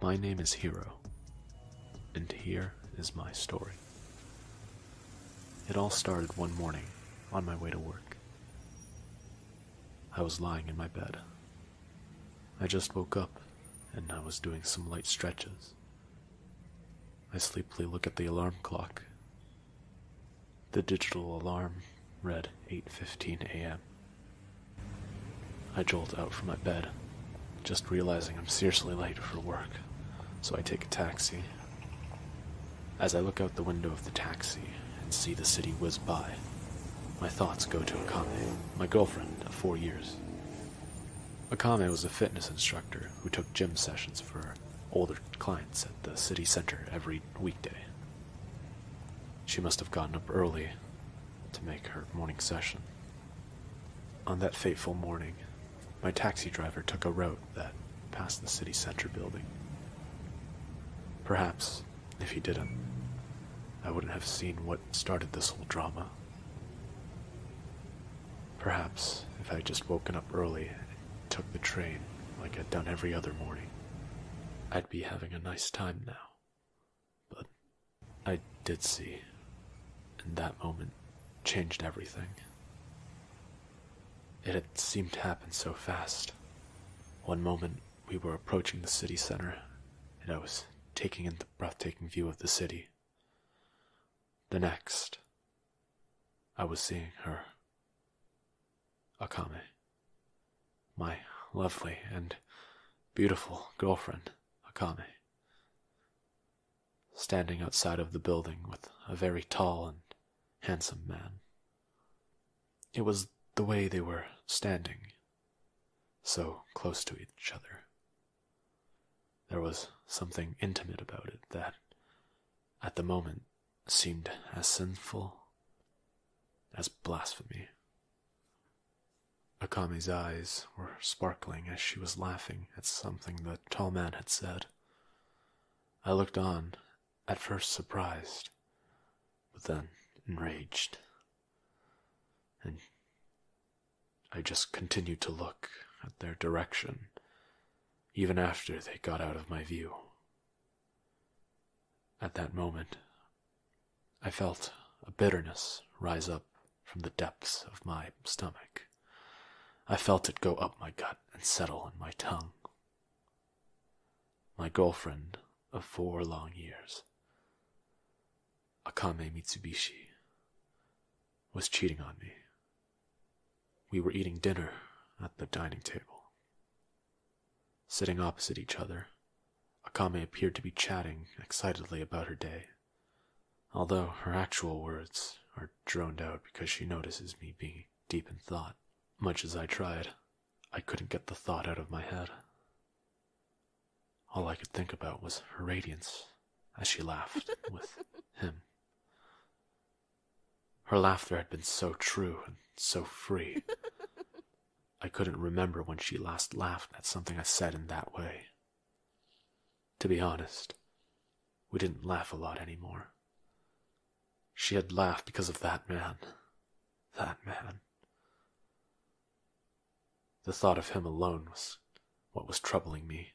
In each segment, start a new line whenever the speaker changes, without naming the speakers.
My name is Hero, and here is my story. It all started one morning on my way to work. I was lying in my bed. I just woke up and I was doing some light stretches. I sleepily look at the alarm clock. The digital alarm read 8:15 a.m. I jolt out from my bed, just realizing I'm seriously late for work. So I take a taxi as I look out the window of the taxi and see the city whiz by, my thoughts go to Akame, my girlfriend of four years. Akame was a fitness instructor who took gym sessions for older clients at the city center every weekday. She must have gotten up early to make her morning session. On that fateful morning, my taxi driver took a road that past the city center building. Perhaps, if he didn't, I wouldn't have seen what started this whole drama. Perhaps, if I would just woken up early and took the train like I'd done every other morning, I'd be having a nice time now. But I did see, and that moment changed everything. It had seemed to happen so fast. One moment, we were approaching the city center, and I was taking in the breathtaking view of the city. The next, I was seeing her. Akame. My lovely and beautiful girlfriend, Akame. Standing outside of the building with a very tall and handsome man it was the way they were standing, so close to each other. There was something intimate about it that, at the moment, seemed as sinful as blasphemy. Akame's eyes were sparkling as she was laughing at something the tall man had said. I looked on at first surprised, but then enraged. And I just continued to look at their direction, even after they got out of my view. At that moment, I felt a bitterness rise up from the depths of my stomach. I felt it go up my gut and settle in my tongue my girlfriend of four long years, Akame Mitsubishi, was cheating on me. We were eating dinner at the dining table. Sitting opposite each other, Akame appeared to be chatting excitedly about her day, although her actual words are droned out because she notices me being deep in thought, much as I tried. I couldn't get the thought out of my head. All I could think about was her radiance as she laughed with him. Her laughter had been so true and so free. I couldn't remember when she last laughed at something I said in that way. To be honest, we didn't laugh a lot anymore. She had laughed because of that man. That man. The thought of him alone was what was troubling me.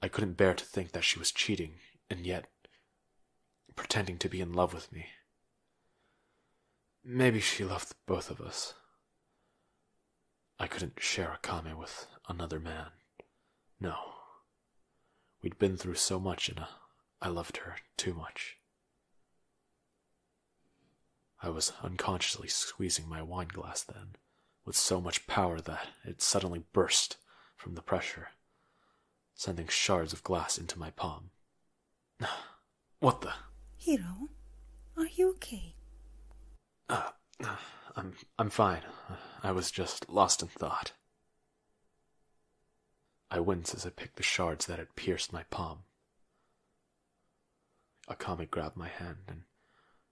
I couldn't bear to think that she was cheating, and yet pretending to be in love with me. Maybe she loved both of us. I couldn't share Akame with another man. No, We'd been through so much, and uh, I loved her too much. I was unconsciously squeezing my wine glass then, with so much power that it suddenly burst from the pressure, sending shards of glass into my palm. what the?
Hiro, are you okay?
Uh, I'm I'm fine. I was just lost in thought. I winced as I picked the shards that had pierced my palm. Akami grabbed my hand and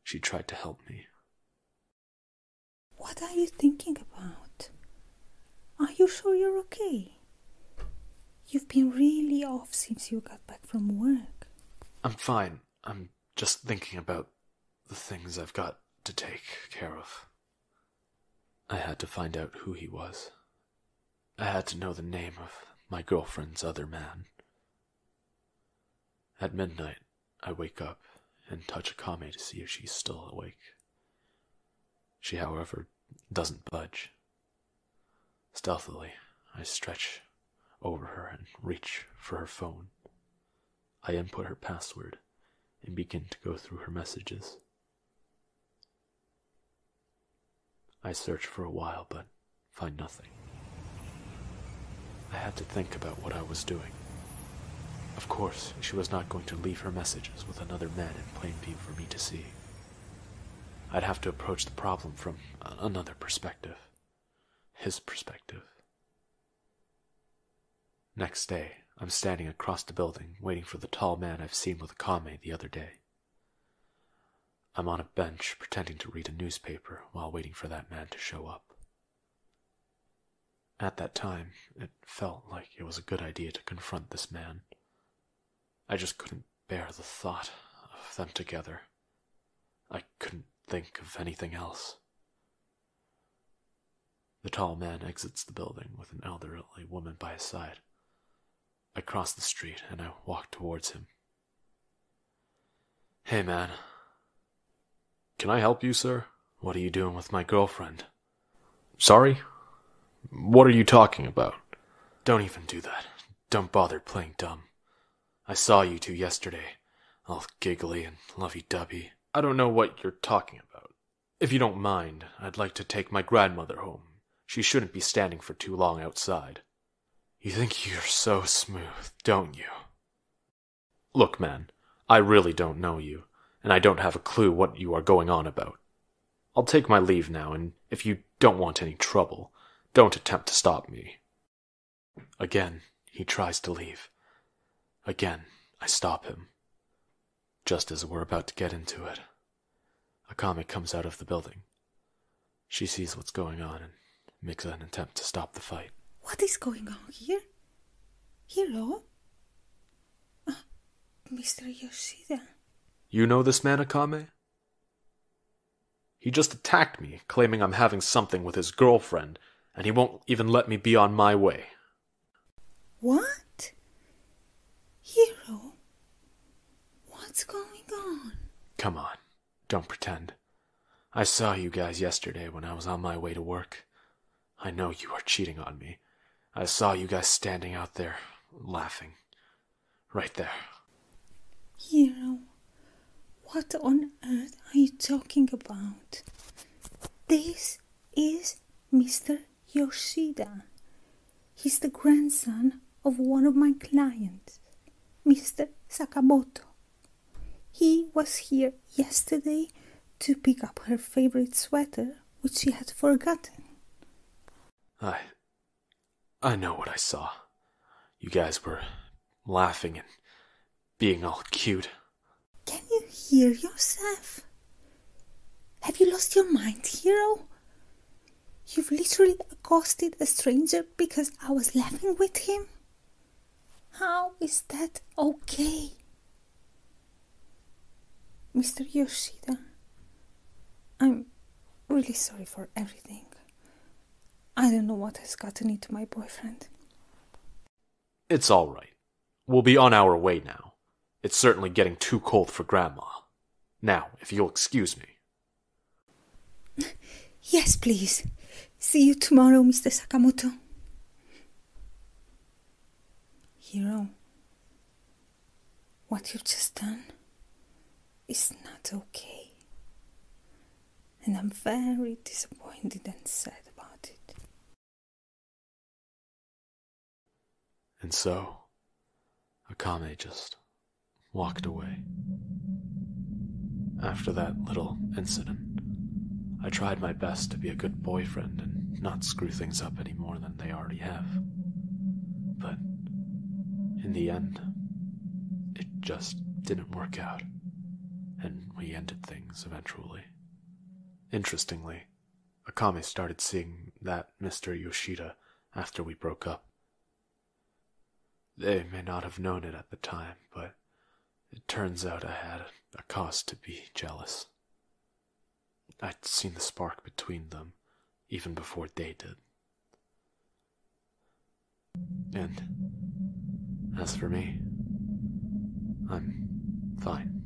she tried to help me.
What are you thinking about? Are you sure you're okay? You've been really off since you got back from work.
I'm fine. I'm just thinking about the things I've got to take care of. I had to find out who he was. I had to know the name of my girlfriend's other man. At midnight, I wake up and touch Akame to see if she's still awake. She, however, doesn't budge. Stealthily, I stretch over her and reach for her phone. I input her password and begin to go through her messages. I search for a while but find nothing. I had to think about what I was doing. Of course, she was not going to leave her messages with another man in plain view for me to see. I'd have to approach the problem from another perspective. His perspective. Next day, I'm standing across the building waiting for the tall man I've seen with a Akame the other day. I'm on a bench pretending to read a newspaper while waiting for that man to show up. At that time, it felt like it was a good idea to confront this man. I just couldn't bear the thought of them together. I couldn't think of anything else. The tall man exits the building with an elderly woman by his side. I cross the street and I walk towards him. Hey, man. Can I help you, sir? What are you doing with my girlfriend? Sorry? What are you talking about? Don't even do that. Don't bother playing dumb. I saw you two yesterday, all giggly and lovey dovey. I don't know what you're talking about. If you don't mind, I'd like to take my grandmother home. She shouldn't be standing for too long outside. You think you're so smooth, don't you? Look, man, I really don't know you, and I don't have a clue what you are going on about. I'll take my leave now, and if you don't want any trouble, don't attempt to stop me. Again, he tries to leave. Again, I stop him just as we're about to get into it. A comic comes out of the building. She sees what's going on and makes an attempt to stop the fight.
What is going on here? Hello? Ah, Mr. Yoshida.
You know this man, Akame? He just attacked me, claiming I'm having something with his girlfriend, and he won't even let me be on my way.
What? Hero? What's going on?
Come on, don't pretend. I saw you guys yesterday when I was on my way to work. I know you are cheating on me. I saw you guys standing out there, laughing. Right there.
Hero, what on earth are you talking about? This is Mr. Yoshida. He's the grandson of one of my clients, Mr. Sakamoto. He was here yesterday to pick up her favorite sweater, which she had forgotten.
I. I know what I saw. You guys were laughing and being all cute.
Can you hear yourself? Have you lost your mind, hero? You've literally accosted a stranger because I was laughing with him? How is that okay? Mr. Yoshida, I'm really sorry for everything. I don't know what has gotten into my boyfriend.
It's all right. We'll be on our way now. It's certainly getting too cold for Grandma. Now, if you'll excuse me.
Yes, please. See you tomorrow, Mr. Sakamoto. Hiro, what you've just done is not okay. And I'm very disappointed and sad about it.
And so, Akame just walked away. After that little incident, I tried my best to be a good boyfriend and not screw things up any more than they already have. But in the end, it just didn't work out, and we ended things eventually. Interestingly, Akame started seeing that Mr. Yoshida after we broke up. They may not have known it at the time, but it turns out I had a cause to be jealous. I'd seen the spark between them even before they did. And as for me, I'm fine.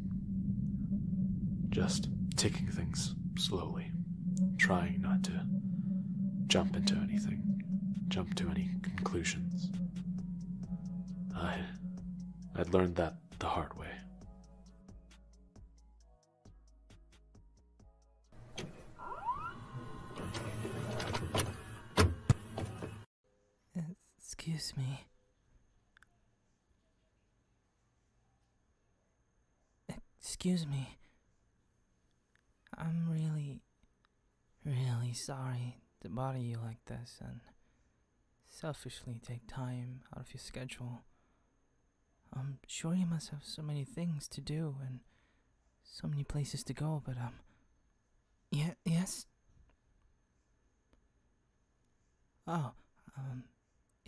Just ticking things slowly, trying not to jump into anything, jump to any conclusions. I I'd learned that the hard way.
Excuse me. Excuse me. I'm really, really sorry to bother you like this and selfishly take time out of your schedule. I'm sure you must have so many things to do and so many places to go, but, um, yeah, yes? Oh, um,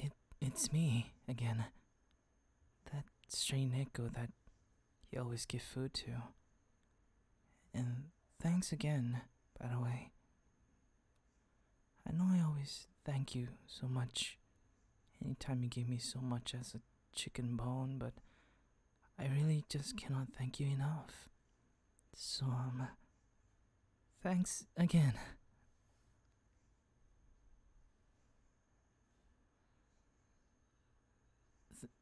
it it's me again. That strange echo that you always give food to. And thanks again, by the way. I know I always thank you so much anytime you give me so much as a chicken bone, but I really just cannot thank you enough. So, um, Thanks again.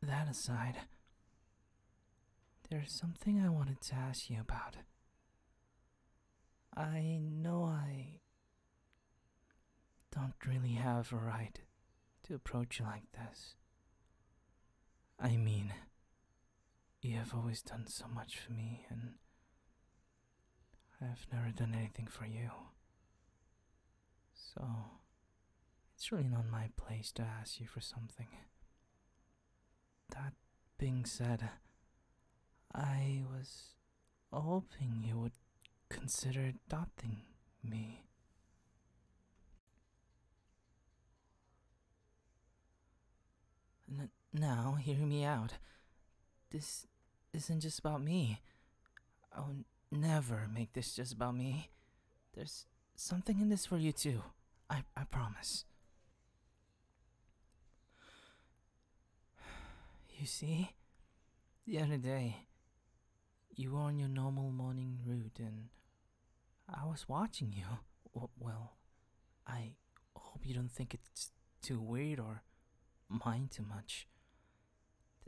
that aside, there's something I wanted to ask you about. I know I don't really have a right to approach you like this. I mean, you have always done so much for me, and I have never done anything for you. So, it's really not my place to ask you for something. That being said, I was hoping you would consider adopting me now, hear me out. This isn't just about me. I will never make this just about me. There's something in this for you too. I, I promise. You see? The other day, you were on your normal morning route and I was watching you. Well, I hope you don't think it's too weird or mind too much.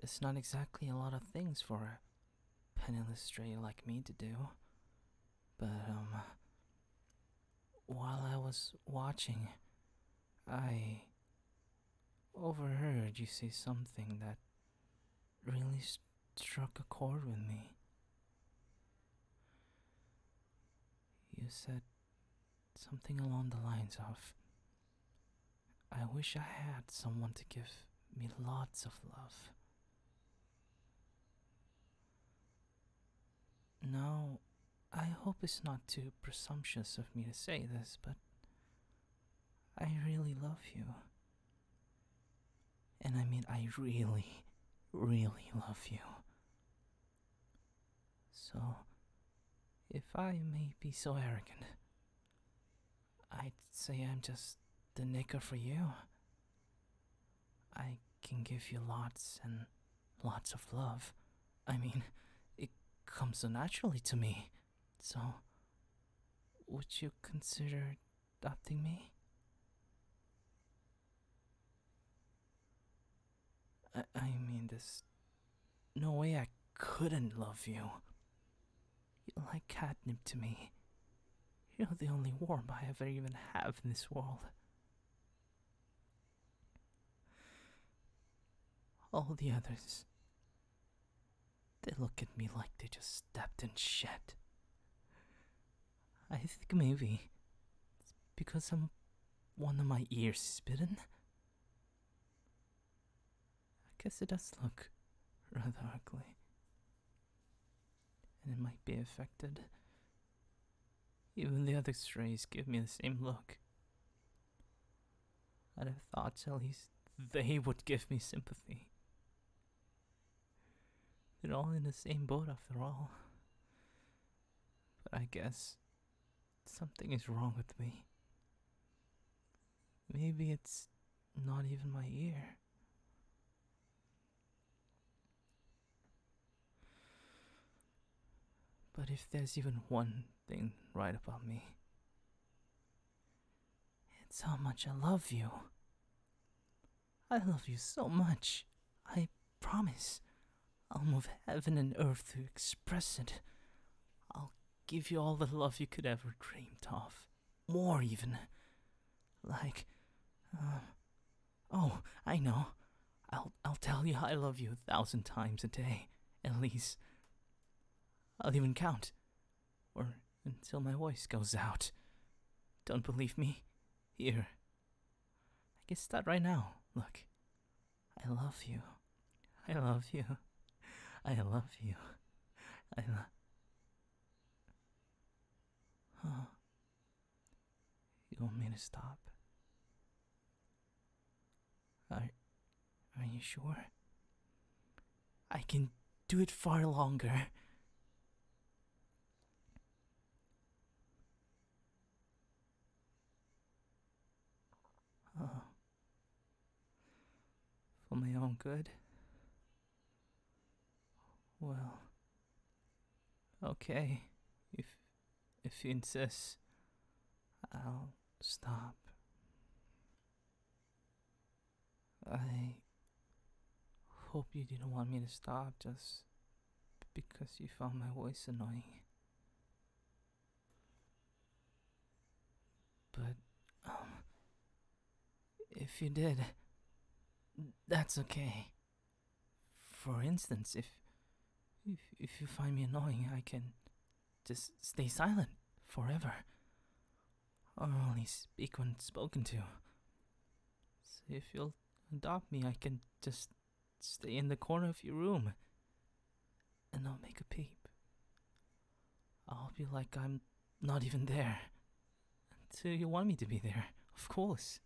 There's not exactly a lot of things for a penniless stray like me to do. But, um, while I was watching, I overheard you say something that really struck a chord with me. You said something along the lines of I wish I had someone to give me lots of love. Now, I hope it's not too presumptuous of me to say this, but I really love you. And I mean, I really, really love you. So, if I may be so arrogant, I'd say I'm just the nigger for you. I can give you lots and lots of love. I mean, it comes so naturally to me. So, would you consider adopting me? I, mean, there's no way I couldn't love you. You're like catnip to me. You're the only warmth I ever even have in this world. All the others, they look at me like they just stepped in shit. I think maybe it's because I'm one of my ears is bitten. I guess it does look rather ugly. And it might be affected. Even the other strays give me the same look. I'd have thought at least they would give me sympathy. They're all in the same boat after all. But I guess something is wrong with me. Maybe it's not even my ear. But if there's even one thing right about me, it's how much I love you. I love you so much. I promise. I'll move heaven and earth to express it. I'll give you all the love you could ever dreamed of. More, even. Like, uh, oh, I know. I'll, I'll tell you I love you a thousand times a day, at least. I'll even count. Or until my voice goes out. Don't believe me? Here, I can start right now. Look. I love you. I love you. I love you. I love. Huh. You want me to stop? Are, are you sure? I can do it far longer. Uh, for my own good? Well. Okay. If. if you insist, I'll stop. I. hope you didn't want me to stop, just because you found my voice annoying. But, um, if you did, that's okay. For instance, if, if, if you find me annoying, I can just stay silent forever. Or only speak when spoken to. So if you'll adopt me, I can just Stay in the corner of your room and I'll make a peep. I'll be like I'm not even there. Until you want me to be there, of course.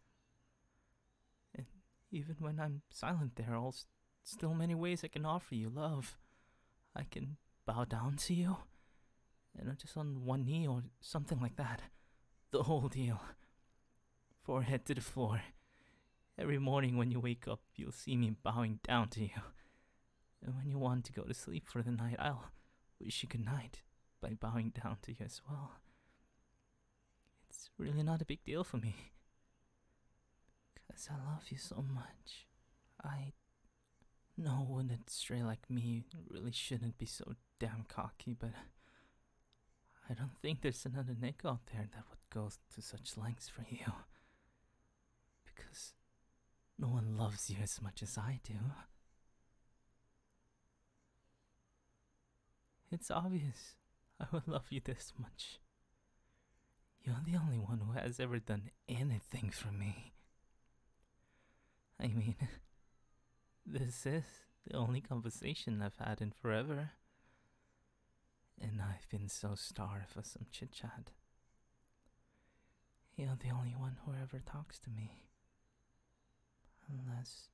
And even when I'm silent there, I'll still many ways I can offer you love. I can bow down to you, and I'm just on one knee or something like that. The whole deal forehead to the floor. Every morning when you wake up, you'll see me bowing down to you. And when you want to go to sleep for the night, I'll wish you good night by bowing down to you as well. It's really not a big deal for me. Because I love you so much. I know an stray like me really shouldn't be so damn cocky, but I don't think there's another Nick out there that would go to such lengths for you. Because no one loves you as much as I do. It's obvious I would love you this much. You're the only one who has ever done anything for me. I mean, this is the only conversation I've had in forever and I've been so starved for some chit chat. You're the only one who ever talks to me. Unless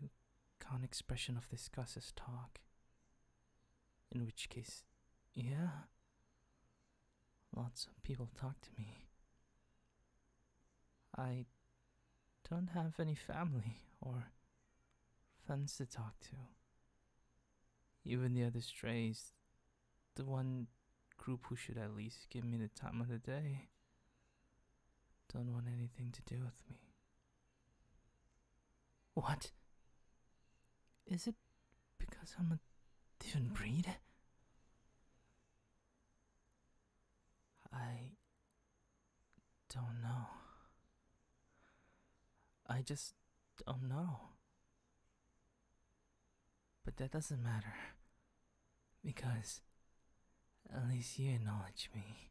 you count expression of disgust as talk. In which case, yeah. Lots of people talk to me. I don't have any family or friends to talk to. Even the other strays, the one group who should at least give me the time of the day, don't want anything to do with me. What? Is it because I'm a different breed? I don't know. I just don't know. But that doesn't matter. Because at least you acknowledge me.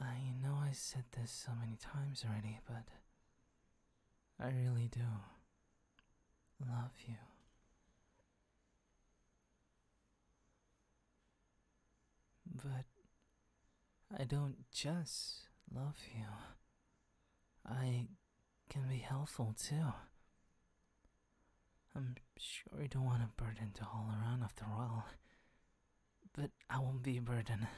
I know I said this so many times already, but I really do love you. But I don't just love you. I can be helpful too. I'm sure you don't want a burden to haul around after all. But I won't be a burden.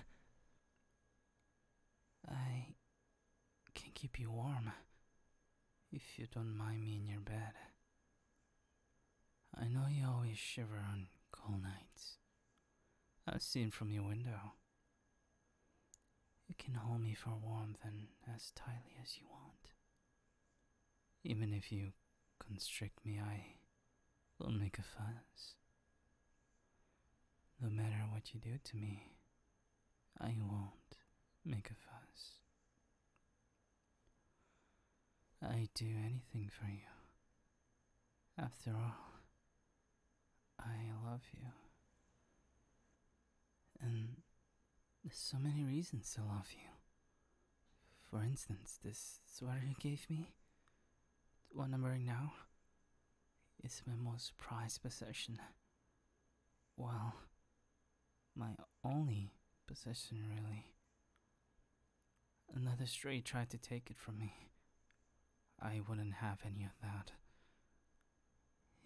I can keep you warm if you don't mind me in your bed. I know you always shiver on cold nights. I've seen from your window. You can hold me for warmth and as tightly as you want. Even if you constrict me, I will make a fuss. No matter what you do to me, I won't make a fuss. I'd do anything for you. After all, I love you. And there's so many reasons to love you. For instance, this sweater you gave me, the one I'm wearing now, is my most prized possession. Well, my only possession, really. Another stray tried to take it from me. I wouldn't have any of that.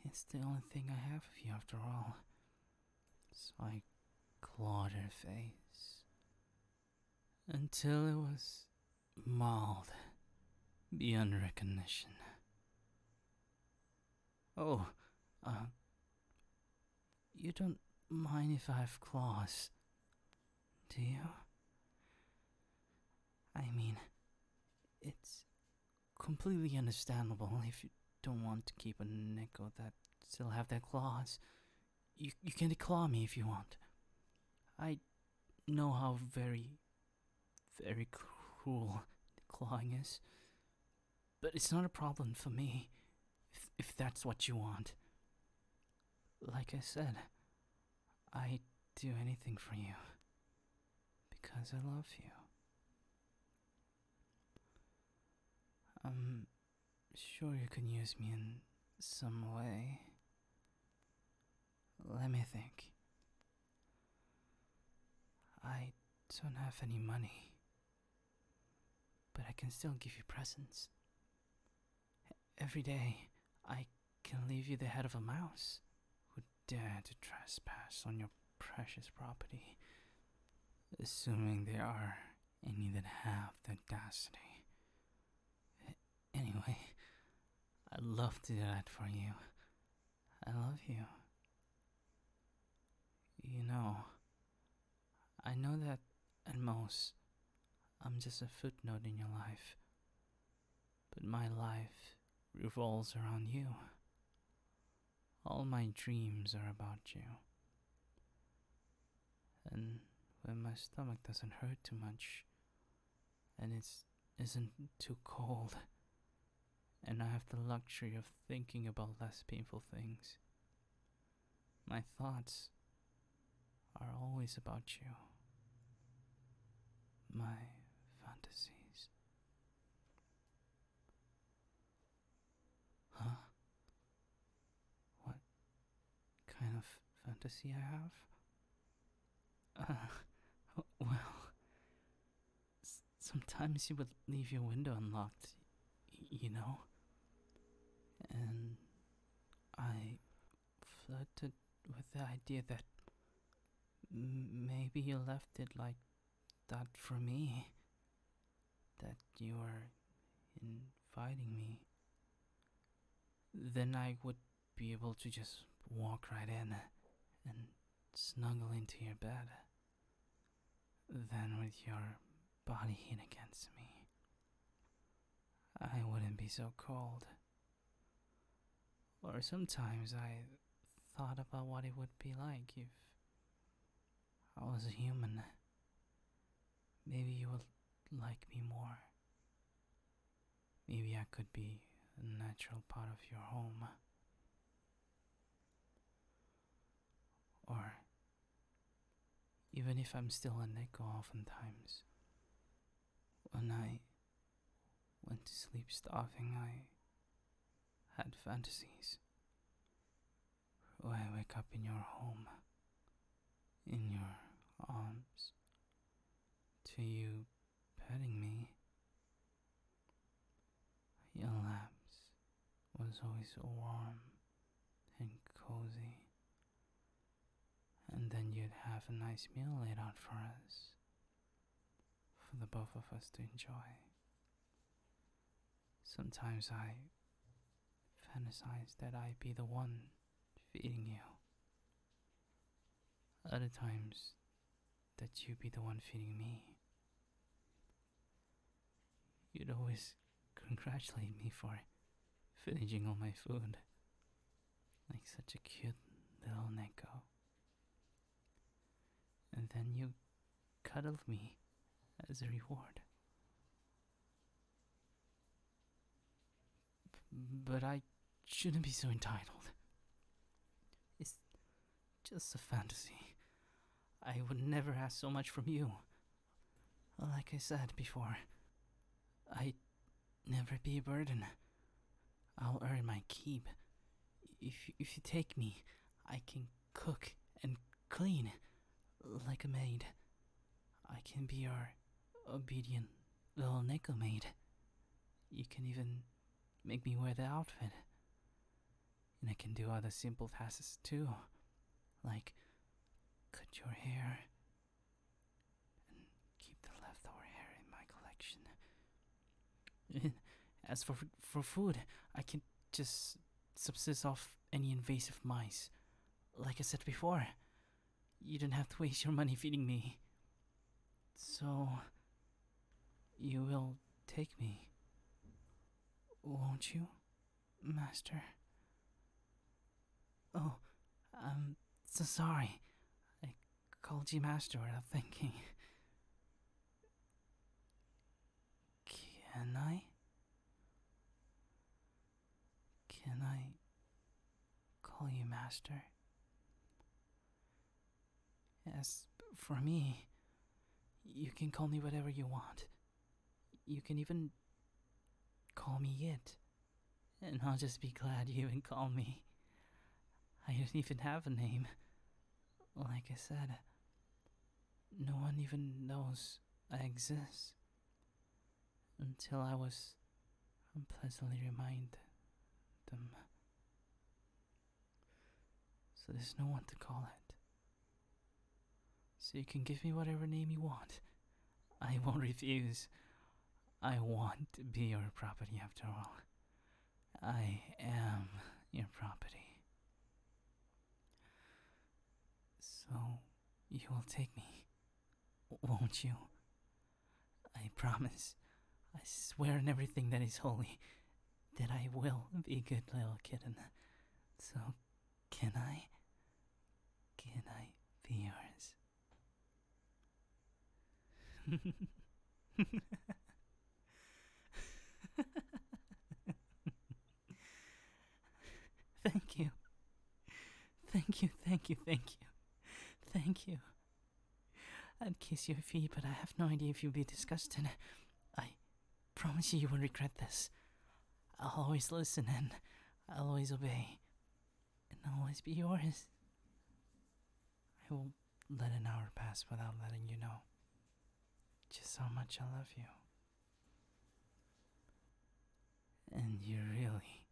It's the only thing I have of you, after all. So I clawed her face until it was mauled beyond recognition. Oh, uh, you don't mind if I have claws, do you? I mean, it's completely understandable if you don't want to keep a nickel that still has their claws. You, you can claw me if you want. I know how very, very cruel clawing is, but it's not a problem for me, if, that's what you want. Like I said, I'd do anything for you. Because I love you. I'm um, sure you can use me in some way. Let me think. I don't have any money. But I can still give you presents. Every day, I can leave you the head of a mouse who dared to trespass on your precious property, assuming there are any that have the audacity. Anyway, I'd love to do that for you. I love you. You know, I know that at most I'm just a footnote in your life, but my life revolves around you. All my dreams are about you. And when my stomach doesn't hurt too much, and it isn't too cold, and I have the luxury of thinking about less painful things, my thoughts are always about you. My fantasies. Huh? What kind of fantasy I have? Uh, well, sometimes you would leave your window unlocked, you know? And I flirted with the idea that maybe you left it like that for me. That you are inviting me. Then I would be able to just walk right in uh, and snuggle into your bed. Then, with your body heat against me, I wouldn't be so cold. Or sometimes I thought about what it would be like if I was a human. Maybe you would like me more. Maybe I could be a natural part of your home or even if I'm still on echo oftentimes. when I went to sleep starving, I had fantasies where I wake up in your home, in your arms, to you petting me, your lips was always warm and cozy. And then you'd have a nice meal laid out for us, for the both of us to enjoy. Sometimes I fantasize that I would be the one feeding you. Other times that you would be the one feeding me. You'd always congratulate me for finishing all my food, like such a cute little Neko. And then you cuddled me as a reward. but I shouldn't be so entitled. It's just a fantasy. I would never ask so much from you. Like I said before, i will never be a burden. I'll earn my keep. If, if you take me, I can cook and clean like a maid. I can be your obedient little nickel maid. You can even make me wear the outfit. And I can do other simple tasks too, like cut your hair and keep the leftover hair in my collection. As for for food, I can just subsist off any invasive mice. Like I said before, you don't have to waste your money feeding me. So, you will take me, won't you? Master. Oh, I'm so sorry. I called you Master without thinking. Can I? Can I call you Master? As for me, you can call me whatever you want. You can even call me it. And I'll just be glad you even call me. I don't even have a name. Like I said, no one even knows I exist. Until I was unpleasantly reminded So there's no one to call it. So you can give me whatever name you want. I won't refuse. I want to be your property after all. I am your property. So you will take me, won't you? I promise, I swear on everything that is holy, that I will be good little kitten. So can I? Can I be yours? thank you. Thank you, thank you, thank you. Thank you. I'd kiss your feet, but I have no idea if you'd be disgusted. I Promise you, you will regret this. I'll always listen and I'll always obey. And I'll always be yours. I won't let an hour pass without letting you know just how much I love you. And you really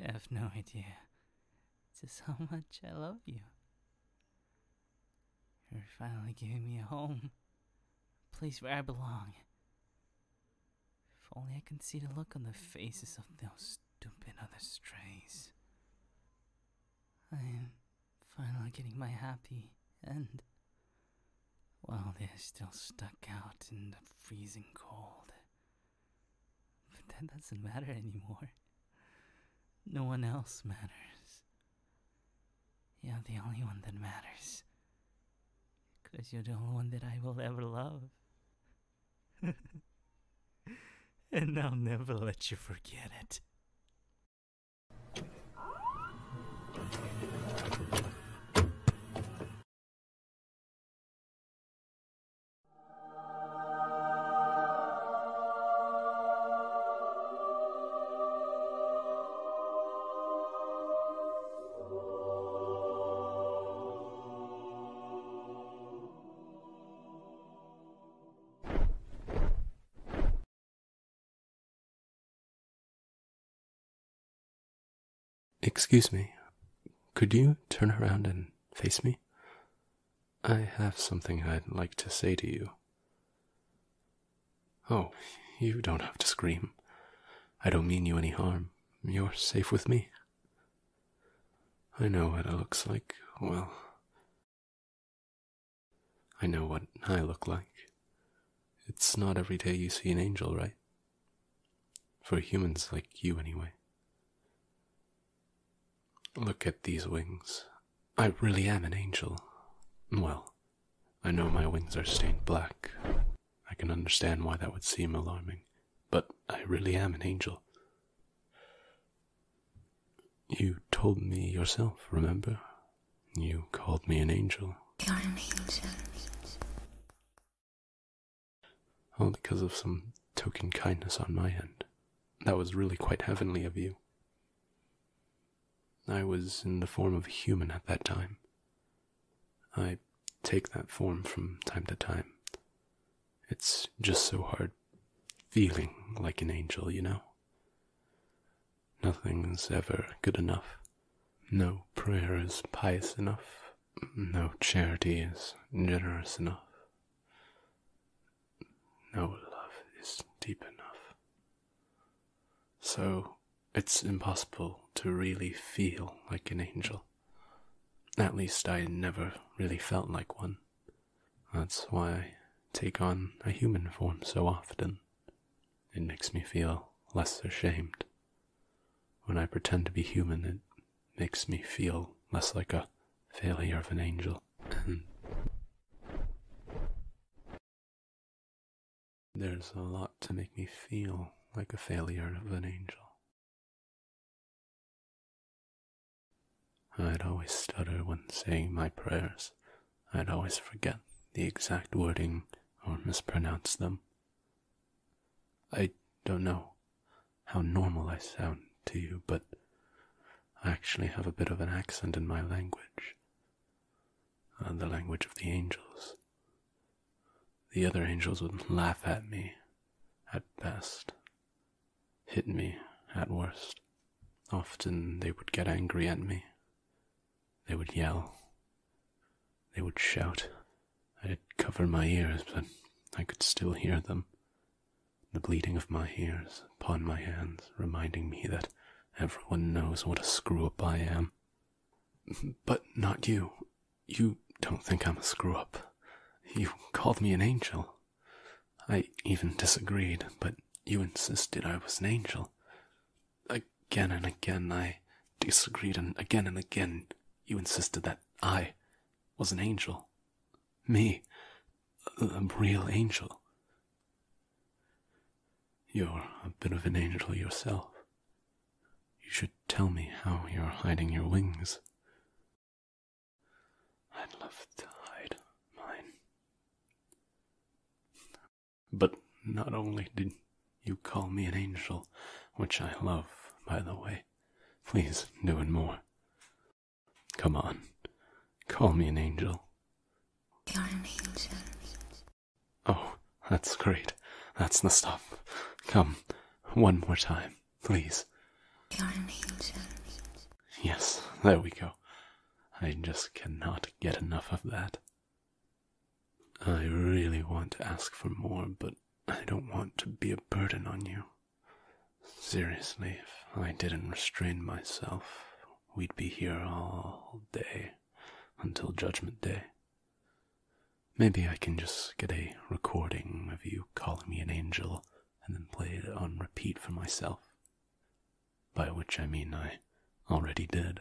have no idea just how much I love you. You're finally giving me a home place where I belong. If only I can see the look on the faces of those stupid other strays. I am finally getting my happy end. While they're still stuck out in the freezing cold. But that doesn't matter anymore. No one else matters. You're the only one that matters. Because you're the only one that I will ever love. and I'll never let you forget it.
Excuse me, could you turn around and face me?
I have something I'd like to say to you. Oh, you don't have to scream. I don't mean you any harm. You're safe with me. I know what it looks like. Well, I know what I look like. It's not every day you see an angel, right? For humans like you, anyway. Look at these wings. I really am an angel. Well, I know my wings are stained black. I can understand why that would seem alarming, but I really am an angel. You told me yourself, remember? You called me an angel.
You're an angel.
because of some token kindness on my end. That was really quite heavenly of you. I was in the form of a human at that time. I take that form from time to time. It's just so hard feeling like an angel, you know? Nothing's ever good enough. No prayer is pious enough. No charity is generous enough. No love is deep enough. So it's impossible to really feel like an angel. At least I never really felt like one. That's why I take on a human form so often. It makes me feel less ashamed. When I pretend to be human, it makes me feel less like a failure of an angel. There's a lot to make me feel like a failure of an angel. I'd always stutter when saying my prayers. I'd always forget the exact wording or mispronounce them. I don't know how normal I sound to you, but I actually have a bit of an accent in my language, and uh, the language of the angels. The other angels would laugh at me at best, hit me at worst. Often they would get angry at me. They would yell. They would shout. I'd cover my ears, but I could still hear them. The bleeding of my ears upon my hands reminding me that everyone knows what a screw up I am but not you. You don't think I'm a screw up. You called me an angel. I even disagreed, but you insisted I was an angel. Again and again I disagreed, and again and again you insisted that I was an angel. Me, a real angel. You're a bit of an angel yourself. You should tell me how you're hiding your wings. I'd love to hide mine. But not only did you call me an angel, which I love, by the way, please do it more. Come on, call me an angel.
You're an angel.
Oh, that's great. That's the stuff. Come, one more time, please. Yes, there we go. I just cannot get enough of that. I really want to ask for more, but I don't want to be a burden on you. Seriously, if I didn't restrain myself, we'd be here all day until Judgment Day. Maybe I can just get a recording of you calling me an angel and then play it on repeat for myself. By which I mean I already did.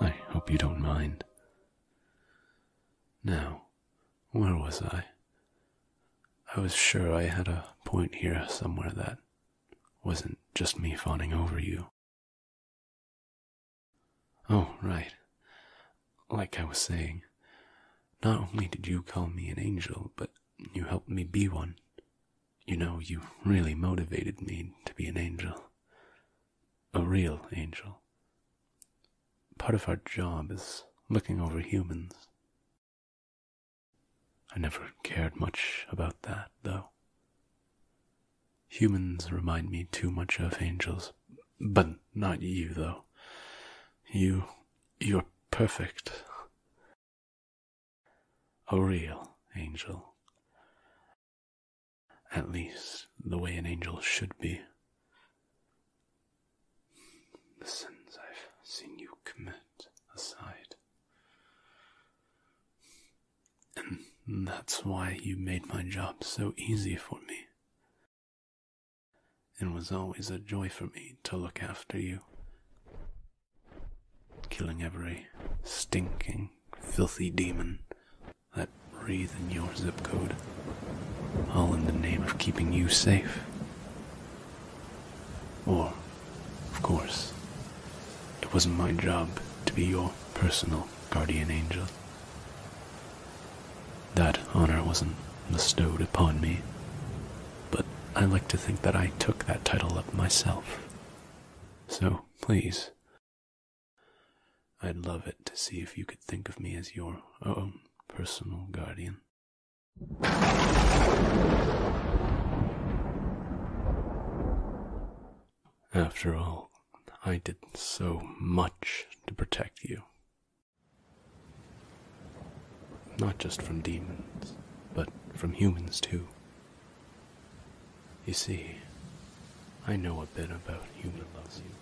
I hope you don't mind. Now, where was I? I was sure I had a point here somewhere that wasn't just me fawning over you. Oh, right. Like I was saying, not only did you call me an angel, but you helped me be one. You know, you really motivated me to be an angel. A real angel. Part of our job is looking over humans, I never cared much about that, though. Humans remind me too much of angels. But not you, though. You. you're perfect. A real angel. At least the way an angel should be the sins I've seen you commit aside. And that's why you made my job so easy for me. It was always a joy for me to look after you, killing every stinking, filthy demon that breathed in your zip code, all in the name of keeping you safe. Or, of course, it wasn't my job to be your personal guardian angel. That honor wasn't bestowed upon me, but I like to think that I took that title up myself. So, please, I'd love it to see if you could think of me as your own personal guardian. After all, I did so much to protect you. Not just from demons, but from humans too. You see, I know a bit about human loves you.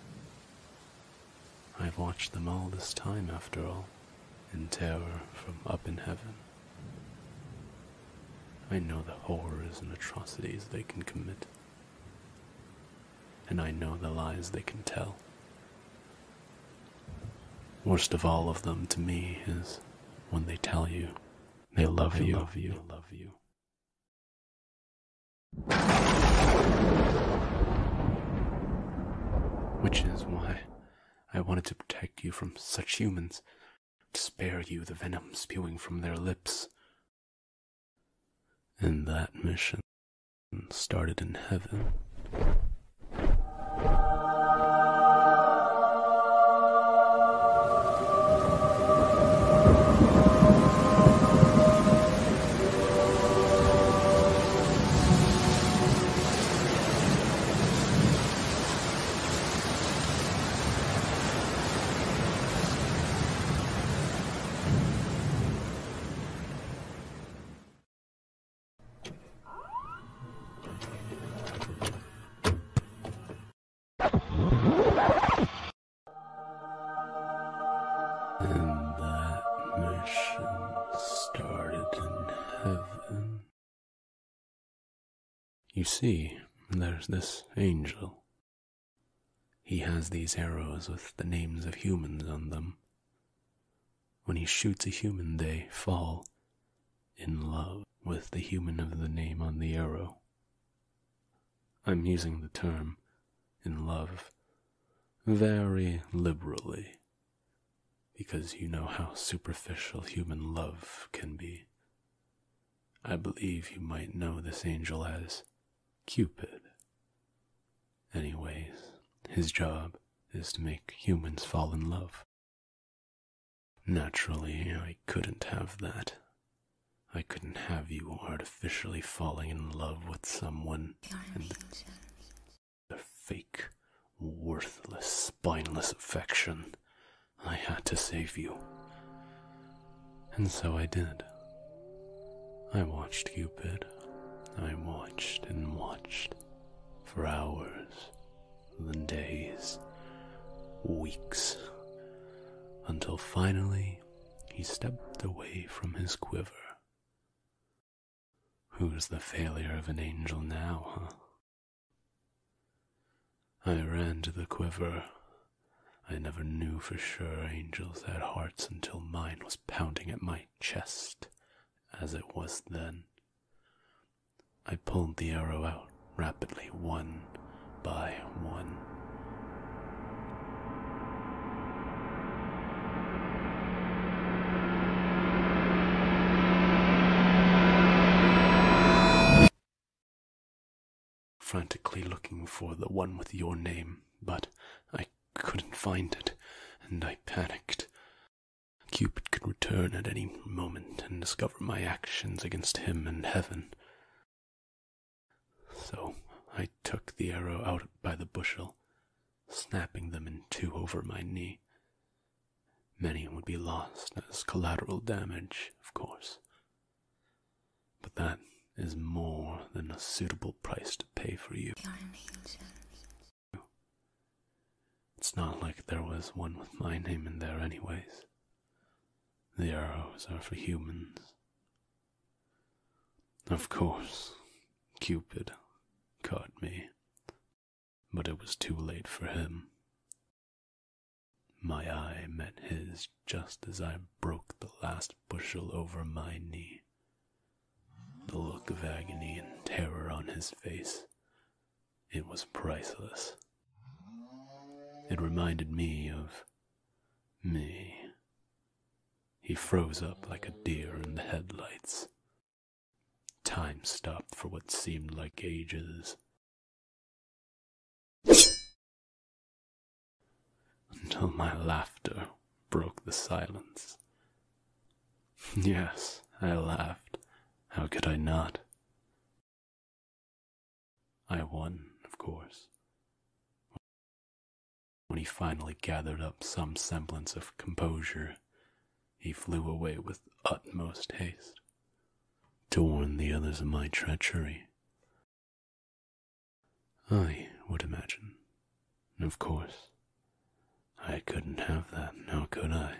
I've watched them all this time, after all, in terror from up in heaven. I know the horrors and atrocities they can commit, and I know the lies they can tell. Worst of all of them to me is when they tell you they love you. Love you. love you. Which is why. I wanted to protect you from such humans, to spare you the venom spewing from their lips. And that mission started in heaven. And that
mission started
in you see, there's this angel. He has these arrows with the names of humans on them. When he shoots a human, they fall in love with the human of the name on the arrow. I'm using the term in love very liberally because you know how superficial human love can be. I believe you might know this angel as Cupid. Anyways, his job is to make humans fall in love. Naturally, I couldn't have that. I couldn't have you artificially falling in love with someone the fake, worthless, spineless affection. I had to save you. And so I did. I watched Cupid. I watched and watched for hours, then days, weeks, until finally he stepped away from his quiver. Who's the failure of an angel now, huh? I ran to the quiver. I never knew for sure angels had hearts until mine was pounding at my chest, as it was then. I pulled the arrow out rapidly, one by one frantically looking for the one with your name, but I couldn't find it, and I panicked. Cupid could return at any moment and discover my actions against him and heaven. So I took the arrow out by the bushel, snapping them in two over my knee. Many would be lost as collateral damage, of course. But that is more than a suitable price to pay for you. It's not like there was one with my name in there, anyways. The arrows are for humans. Of course, Cupid caught me but it was too late for him. My eye met his just as I broke the last bushel over my knee. The look of agony and terror on his face, it was priceless. It reminded me of me. He froze up like a deer in the headlights, Time stopped for what seemed like ages. Until my laughter broke the silence. Yes, I laughed. How could I not? I won, of course. When he finally gathered up some semblance of composure, he flew away with utmost haste to warn the others of my treachery. I would imagine. Of course. I couldn't have that, now could I?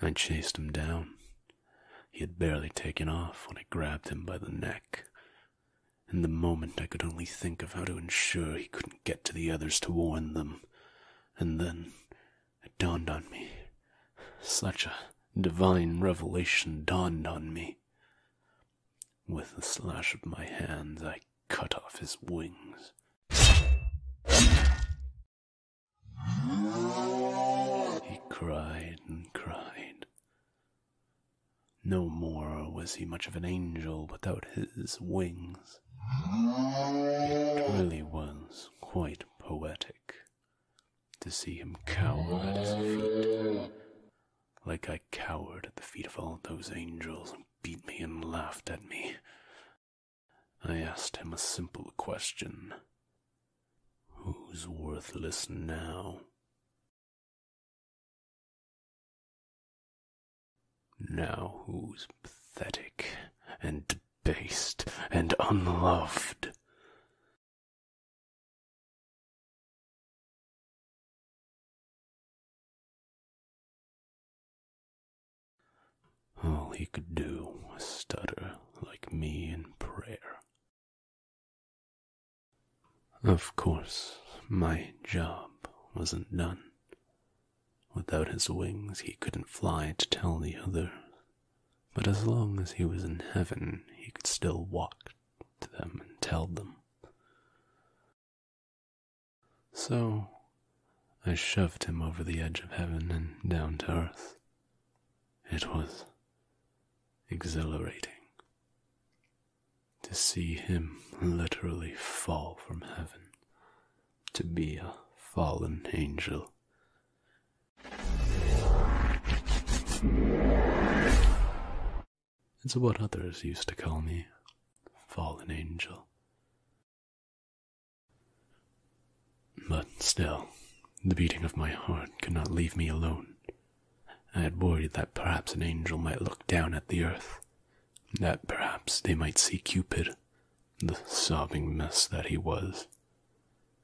I chased him down. He had barely taken off when I grabbed him by the neck. In the moment, I could only think of how to ensure he couldn't get to the others to warn them. And then it dawned on me. Such a divine revelation dawned on me. With a slash of my hands, I cut off his wings. He cried and cried. No more was he much of an angel without his wings.
Really
was quite poetic to see him cower at his feet, like I cowered at the feet of all those angels who beat me and laughed at me. I asked him a simple question
Who's worthless now? Now, who's pathetic and debased and unloved? All he could do was stutter like me in prayer. Of course,
my job wasn't done. Without his wings, he couldn't fly to tell the others. But as long as he was in heaven, he could still walk to them and tell them. So I shoved him over the edge of heaven and down to earth. It was exhilarating to see him literally fall from heaven to be a fallen angel. It's what others used to call me fallen angel. But still, the beating of my heart could not leave me alone. I had worried that perhaps an angel might look down at the earth that perhaps they might see Cupid, the sobbing mess that he was,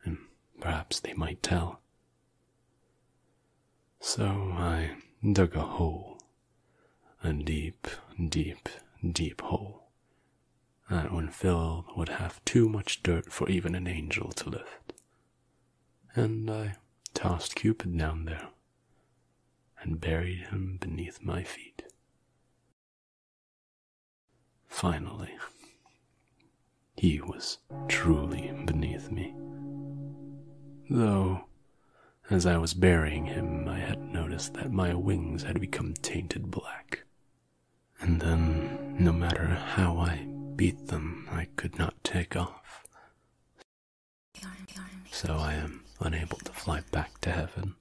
and perhaps they might tell. So I dug a hole, a deep, deep, deep hole. That when filled would have too much dirt for even an angel to lift. And I tossed Cupid down there and buried him beneath my feet. Finally, he was truly beneath me. Though, as I was burying him, I had noticed that my wings had become tainted black. And then, no matter how I beat them, I could not take off. So I am unable to fly back to heaven.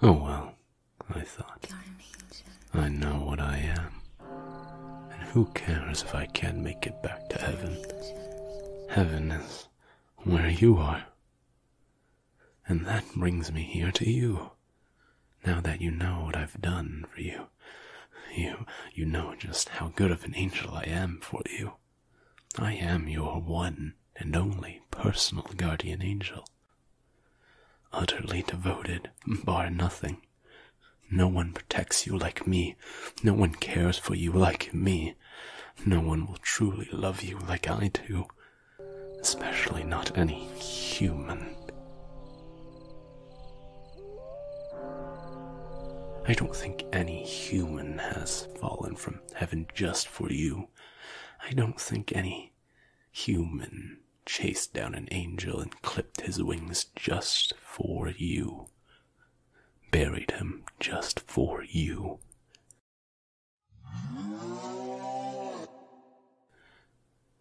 Oh well, I thought. I know what I am. And who cares if I can't make it back to heaven? Heaven is where you are. And that brings me here to you. Now that you know what I've done for you, you you know just how good of an angel I am for you. I am your one and only personal guardian angel. Utterly devoted, bar nothing. No one protects you like me. No one cares for you like me. No one will truly love you like I do. Especially not any human. I don't think any human has fallen from heaven just for you. I don't think any human chased down an angel and clipped his wings just for you. Buried him just for you.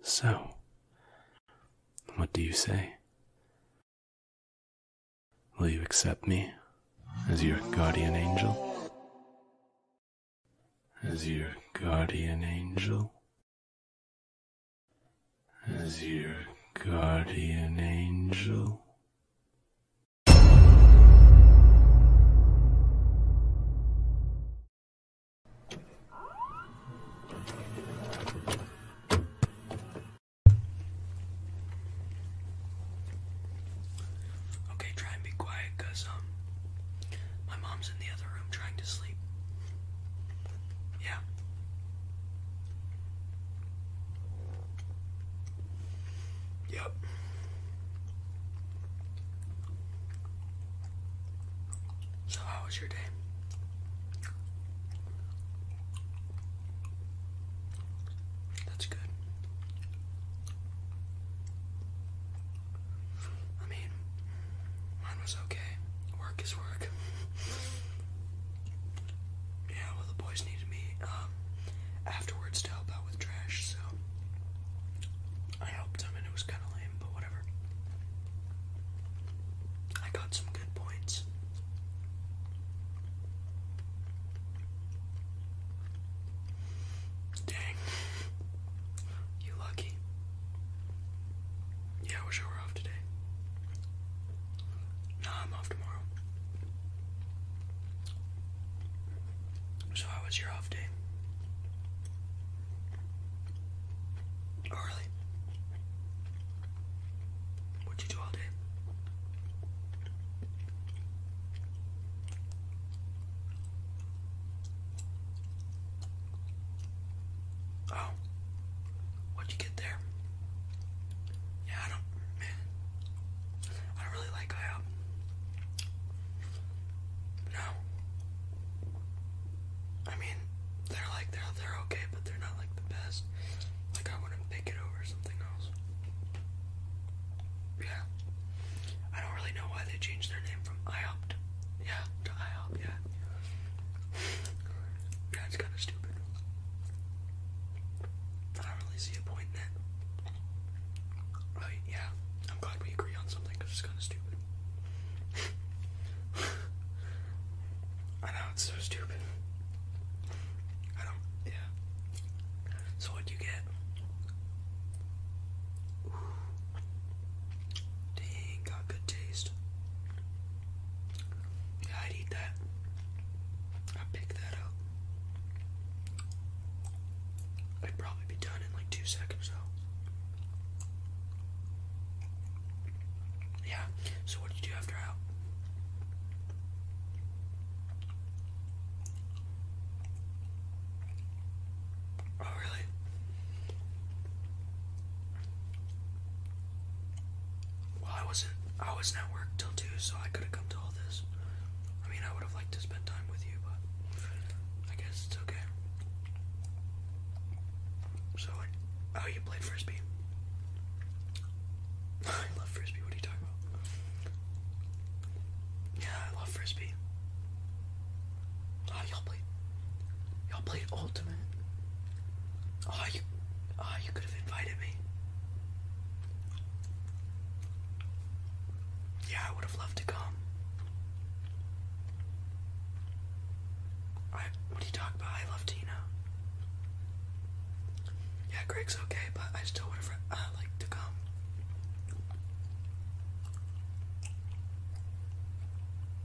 So, what do you say? Will you accept me as your guardian angel? As your guardian angel? As your guardian angel?
Okay, try and be quiet, cause um, my mom's in the other room trying to sleep. Yeah. Yep. So how was your day? That's good. I mean, mine was okay. Work is work. yeah, well, the boys needed me um, afterwards to help out with trash, so I helped them, and it was kind of lame, but whatever. I got some good points. Dang. You lucky. Yeah, I wish I were off today. Nah, I'm off tomorrow. So, how was your off day? Oh, What'd you do all day? Oh, what'd you get there? Yeah, I don't, man, I don't really like IHOP. No, I mean, they're like they're they're okay, but they're not like the best. Like I wouldn't pick it over something else. Yeah. I don't really know why they changed their name from IHOP to, yeah, to yeah. Yeah, it's kind of stupid. I don't really see a point in it. Right, yeah. I'm glad we agree on something because it's kind of stupid. I know, it's so stupid. I don't, yeah. So what'd you get? Ooh. Dang, got good taste. Yeah, I'd eat that. I'd pick that up. I'd probably be done in like two seconds though. Yeah, so what'd you do after out? Oh, really? Well, I wasn't. I was at work till two, so I could have come to all this. I mean, I would have liked to spend time with you, but I guess it's okay. So, oh, you played frisbee. I love frisbee. What are you talking about? Yeah, I love frisbee. Oh, y'all played. Y'all played ultimate. Oh, you. Oh, you could have invited me. Yeah, I would have loved to come. I. What do you talk about? I love Tina. Yeah, Greg's okay, but I still would have. Uh, I like to come.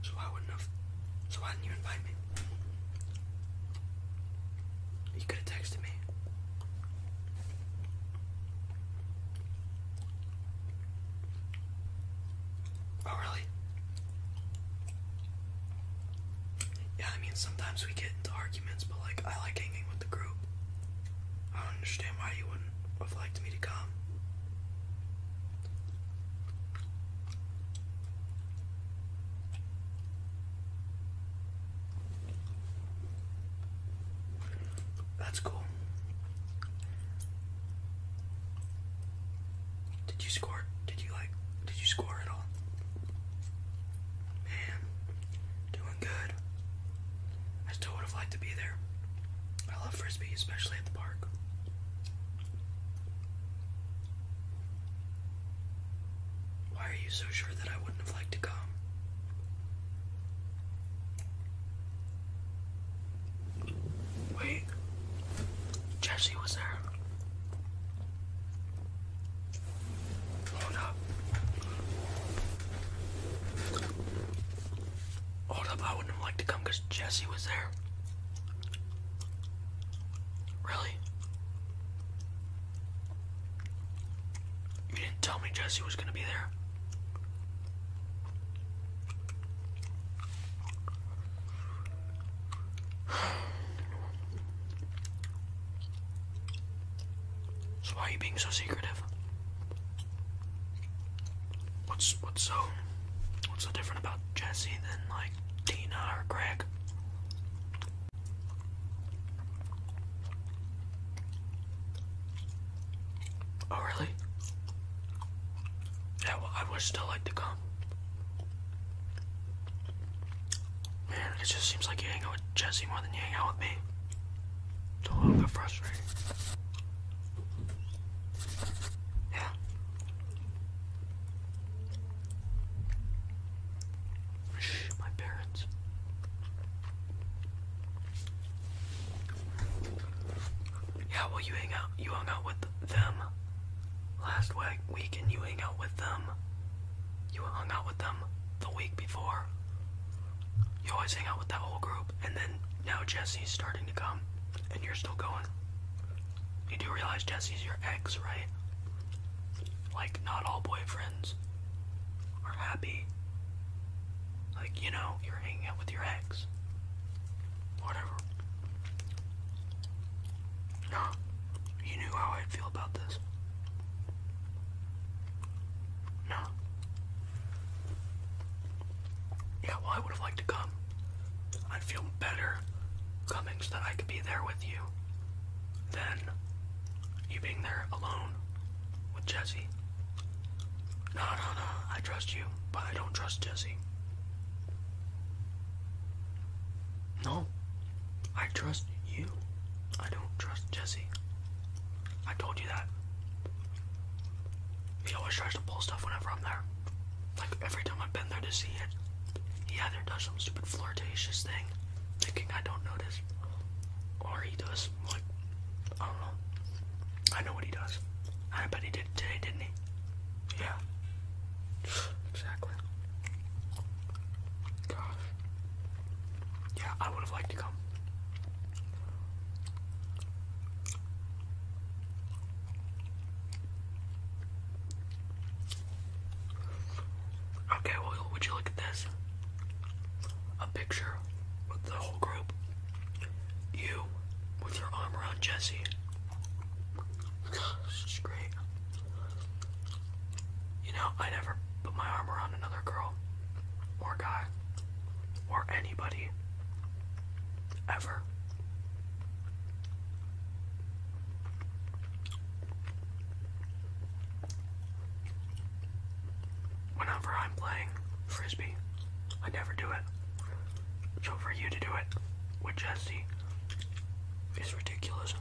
So I wouldn't have. So why didn't you invite me? You could have texted me. Oh, really? Yeah, I mean, sometimes we get into arguments, but like, I like hanging with the group. I don't understand why you wouldn't have liked me to come. That's cool. Did you score? Did you like? Did you score at all? Man, good. I still would have liked to be there. I love frisbee, especially at the park. Why are you so sure that I wouldn't have liked to come? Wait, Jesse was there. Hold up. Hold up, I wouldn't have liked to come because Jesse was there. Really? You didn't tell me Jesse was gonna be there. So why are you being so secretive? What's what's so what's so different about Jesse than like Tina or Greg? Oh really? Yeah, well, I would still like to come. Man, it just seems like you hang out with Jesse more than you hang out with me. It's a little bit frustrating. Yeah. my parents. Yeah, well, you hang out. You hung out with them last week, and you hang out with them you hung out with them the week before. You always hang out with that whole group, and then now Jesse's starting to come, and you're still going. You do realize Jesse's your ex, right? Like, not all boyfriends are happy. Like, you know, you're hanging out with your ex. Whatever. No, you knew how I'd feel about this. No. Yeah. well, I would have liked to come. I'd feel better coming so that I could be there with you than you being there alone with Jesse. No, no, no. I trust you, but I don't trust Jesse. No. I trust you. I don't trust Jesse. I told you that. He always tries to pull stuff whenever I'm there. Like every time I've been there to see it, he either does some stupid flirtatious thing, thinking I don't notice, or he does like I don't know. I know what he does. I bet he did today, didn't he? Yeah. Exactly. Gosh. Yeah, I would have liked to come. Okay, well, would you look at this? A picture with the whole group. You with your arm around Jesse. This is great. You know, I never put my arm around another girl or guy or anybody ever. Whenever I'm playing frisbee, I never do it. So for you to do it with Jesse is ridiculous.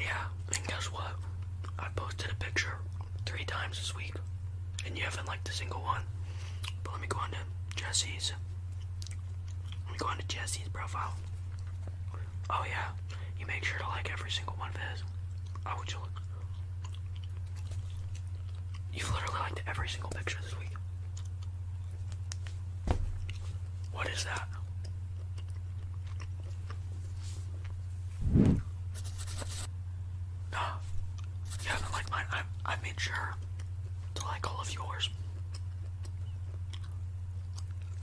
Yeah, and guess what? I posted a picture three times this week, and you haven't liked a single one. But let me go on to Jesse's. Let me go on Jesse's profile. Oh yeah, you make sure to like every single one of his. I would you look? You've literally liked every single picture this week. What is that? No, you haven't liked I, I made sure to like all of yours.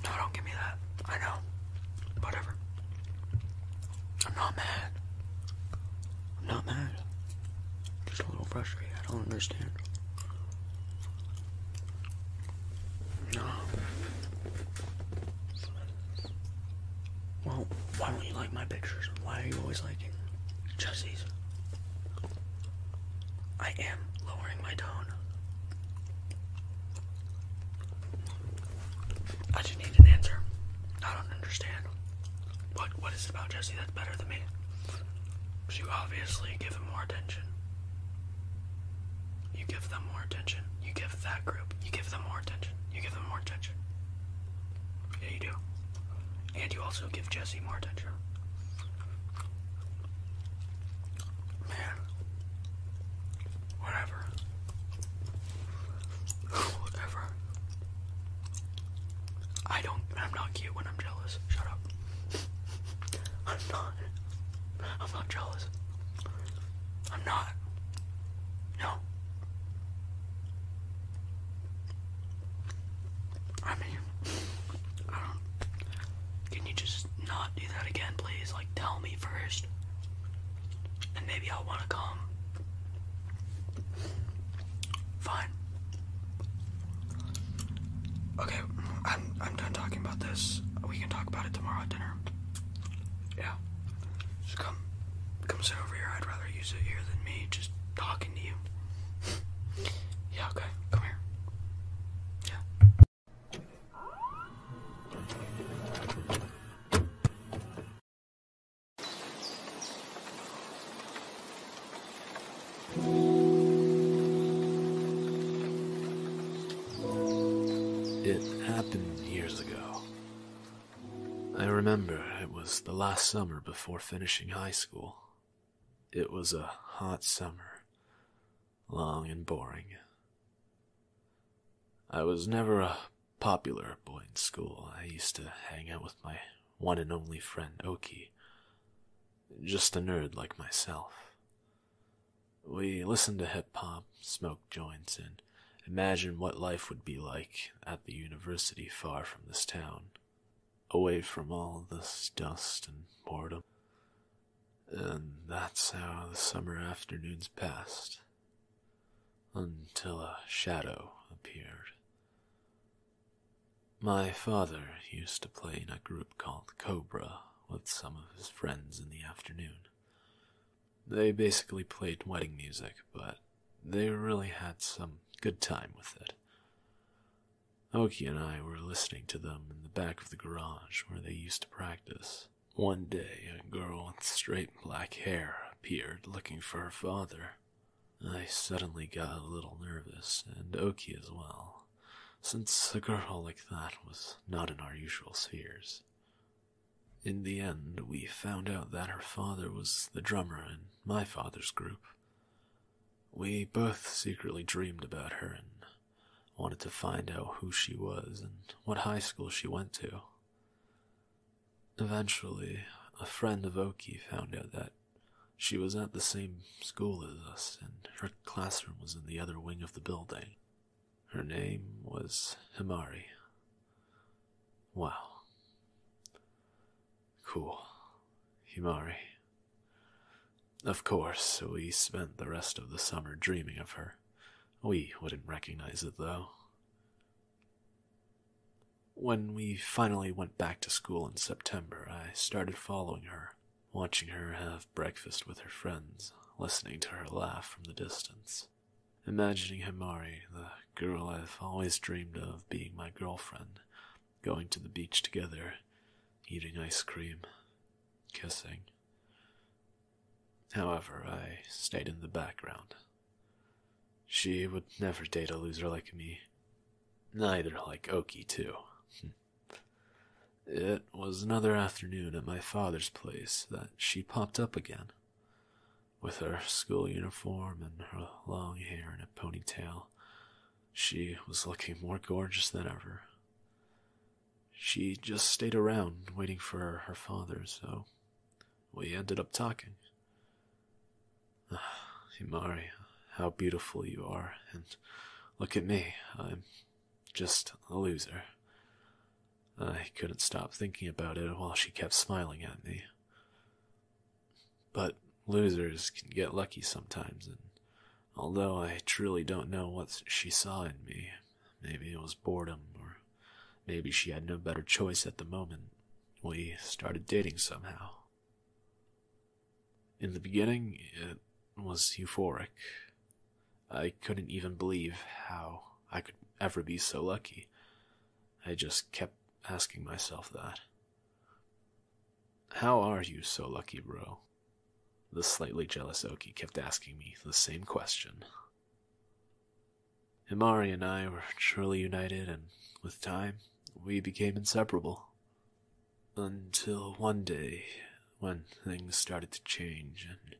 No, don't give me that. I know. Whatever. I'm not mad. I'm not mad. just a little frustrated. I don't understand. No. Well, why don't you like my pictures? Why are you always liking Jesse's? I am lowering my tone. I just need an answer. I don't understand. What what is about Jesse that's better than me? you obviously give them more attention. You give them more attention. You give that group. You give them more attention. You give them more attention. Yeah, you do. And you also give Jesse more attention. Man. Whatever. Whatever. I don't. I'm not cute when I'm jealous. Shut up. I'm not. I'm not jealous. I'm not. No. I mean, I don't. Can you just not do that again, please? Like, tell me first. And maybe I'll want to come. Fine. Okay, I'm I'm done talking about this. We can talk about it tomorrow at dinner. Yeah. Just come come sit over here. I'd rather use it here than me just talking to you. yeah, okay. Come here. Yeah.
It happened years ago. I remember it was the last summer before finishing high school. It was a hot summer, long and boring. I was never a popular boy in school. I used to hang out with my one and only friend Oki, just a nerd like myself. We listened to hip hop, smoked joints, and imagined what life would be like at the university far from this town, away from all this dust and boredom. And that's how the summer afternoons passed. Until a shadow appeared. My father used to play in a group called Cobra with some of his friends in the afternoon. They basically played wedding music, but they really had some good time with it. Oki and I were listening to them in the back of the garage where they used to practice. One day, a girl with straight black hair appeared looking for her father. I suddenly got a little nervous, and Oki as well, since a girl like that was not in our usual spheres. In the end, we found out that her father was the drummer in my father's group. We both secretly dreamed about her and wanted to find out who she was and what high school she went to. Eventually, a friend of Oki found out that she was at the same school as us, and her classroom was in the other wing of the building. Her name was Himari. Wow. Cool. Himari. Of course, we spent the rest of the summer dreaming of her. We wouldn't recognize it, though. When we finally went back to school in September, I started following her, watching her have breakfast with her friends, listening to her laugh from the distance, imagining Himari, the girl I've always dreamed of being my girlfriend, going to the beach together, eating ice cream, kissing. However, I stayed in the background. She would never date a loser like me, Neither like Oki, too. Hmm. it was another afternoon at my father's place that she popped up again, with her school uniform and her long hair in a ponytail. She was looking more gorgeous than ever. She just stayed around waiting for her father, so we ended up talking. Uh, ah, Himari, how beautiful you are, and look at me, I'm just a loser. I couldn't stop thinking about it while she kept smiling at me. But losers can get lucky sometimes, and although I truly don't know what she saw in me, maybe it was boredom, or maybe she had no better choice at the moment, we started dating somehow. In the beginning, it was euphoric. I couldn't even believe how I could ever be so lucky. I just kept asking myself that. How are you so lucky, bro? The slightly jealous Oki kept asking me the same question. Imari and I were truly united, and with time, we became inseparable. Until one day, when things started to change and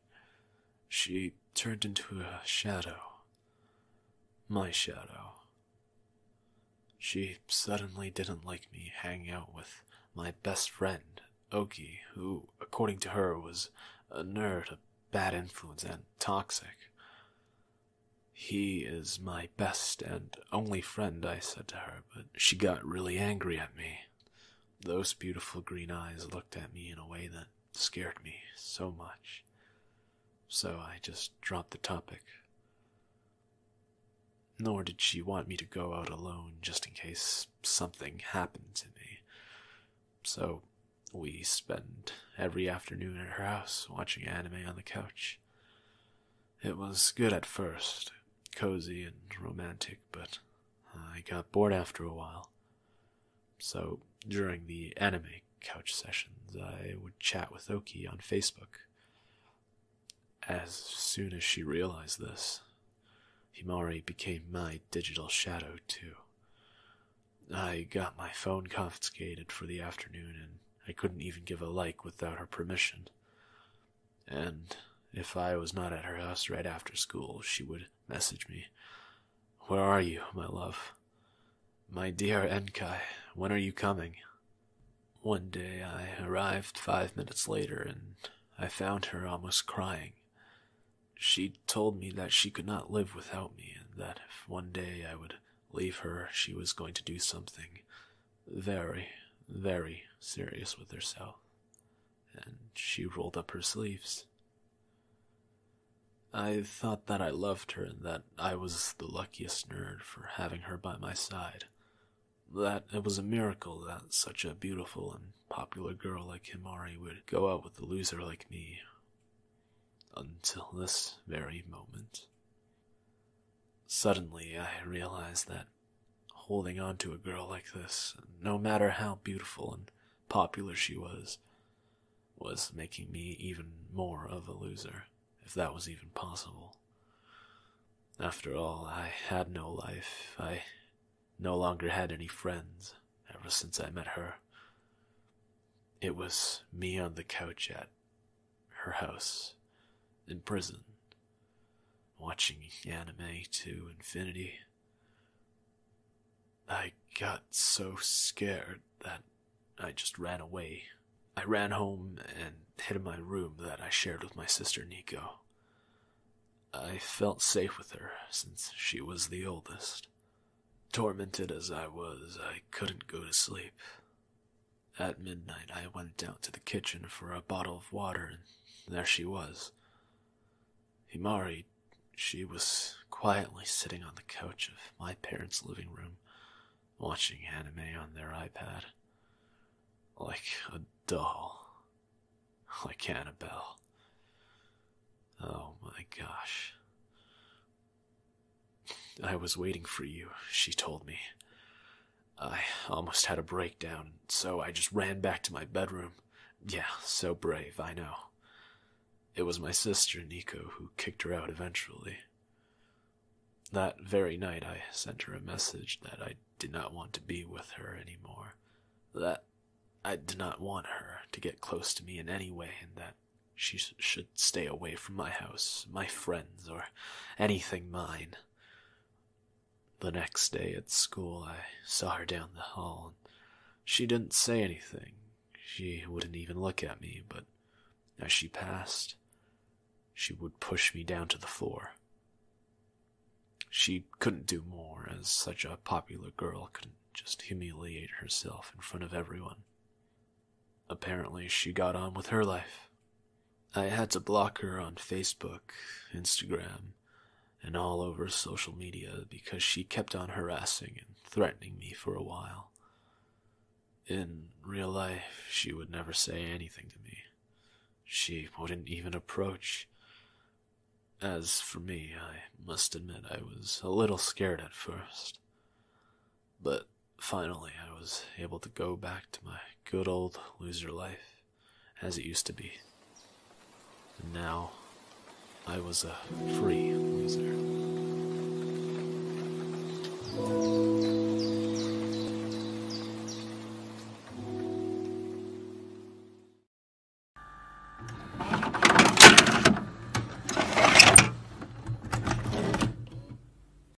she turned into a shadow. My shadow. She suddenly didn't like me hanging out with my best friend, Oki, who, according to her, was a nerd, a bad influence, and toxic. He is my best and only friend, I said to her, but she got really angry at me. Those beautiful green eyes looked at me in a way that scared me so much. So I just dropped the topic. Nor did she want me to go out alone just in case something happened to me. So we spent every afternoon at her house watching anime on the couch. It was good at first, cozy and romantic, but I got bored after a while. So during the anime couch sessions, I would chat with Oki on Facebook. As soon as she realized this, Himari became my digital shadow, too. I got my phone confiscated for the afternoon and I couldn't even give a like without her permission. And if I was not at her house right after school, she would message me, Where are you, my love? My dear Enkai, when are you coming? One day I arrived five minutes later and I found her almost crying. She told me that she could not live without me and that if one day I would leave her, she was going to do something very, very serious with herself, and she rolled up her sleeves. I thought that I loved her and that I was the luckiest nerd for having her by my side. That it was a miracle that such a beautiful and popular girl like Himari would go out with a loser like me. Until this very moment. Suddenly, I realized that holding on to a girl like this, no matter how beautiful and popular she was, was making me even more of a loser, if that was even possible. After all, I had no life. I no longer had any friends ever since I met her. It was me on the couch at her house in prison, watching anime to infinity. I got so scared that I just ran away. I ran home and hid in my room that I shared with my sister Nico. I felt safe with her since she was the oldest. Tormented as I was, I couldn't go to sleep. At midnight, I went out to the kitchen for a bottle of water, and there she was. Himari, she was quietly sitting on the couch of my parents' living room, watching anime on their iPad. Like a doll. Like Annabelle. Oh my gosh. I was waiting for you, she told me. I almost had a breakdown, so I just ran back to my bedroom. Yeah, so brave, I know. It was my sister, Nico, who kicked her out eventually. That very night, I sent her a message that I did not want to be with her anymore, that I did not want her to get close to me in any way, and that she should stay away from my house, my friends, or anything mine. The next day at school, I saw her down the hall. And she didn't say anything. She wouldn't even look at me, but as she passed, she would push me down to the floor. She couldn't do more, as such a popular girl couldn't just humiliate herself in front of everyone. Apparently, she got on with her life. I had to block her on Facebook, Instagram, and all over social media because she kept on harassing and threatening me for a while. In real life, she would never say anything to me. She wouldn't even approach. As for me, I must admit I was a little scared at first. But Finally, I was able to go back to my good old loser life as it used to be. And now, I was a free loser.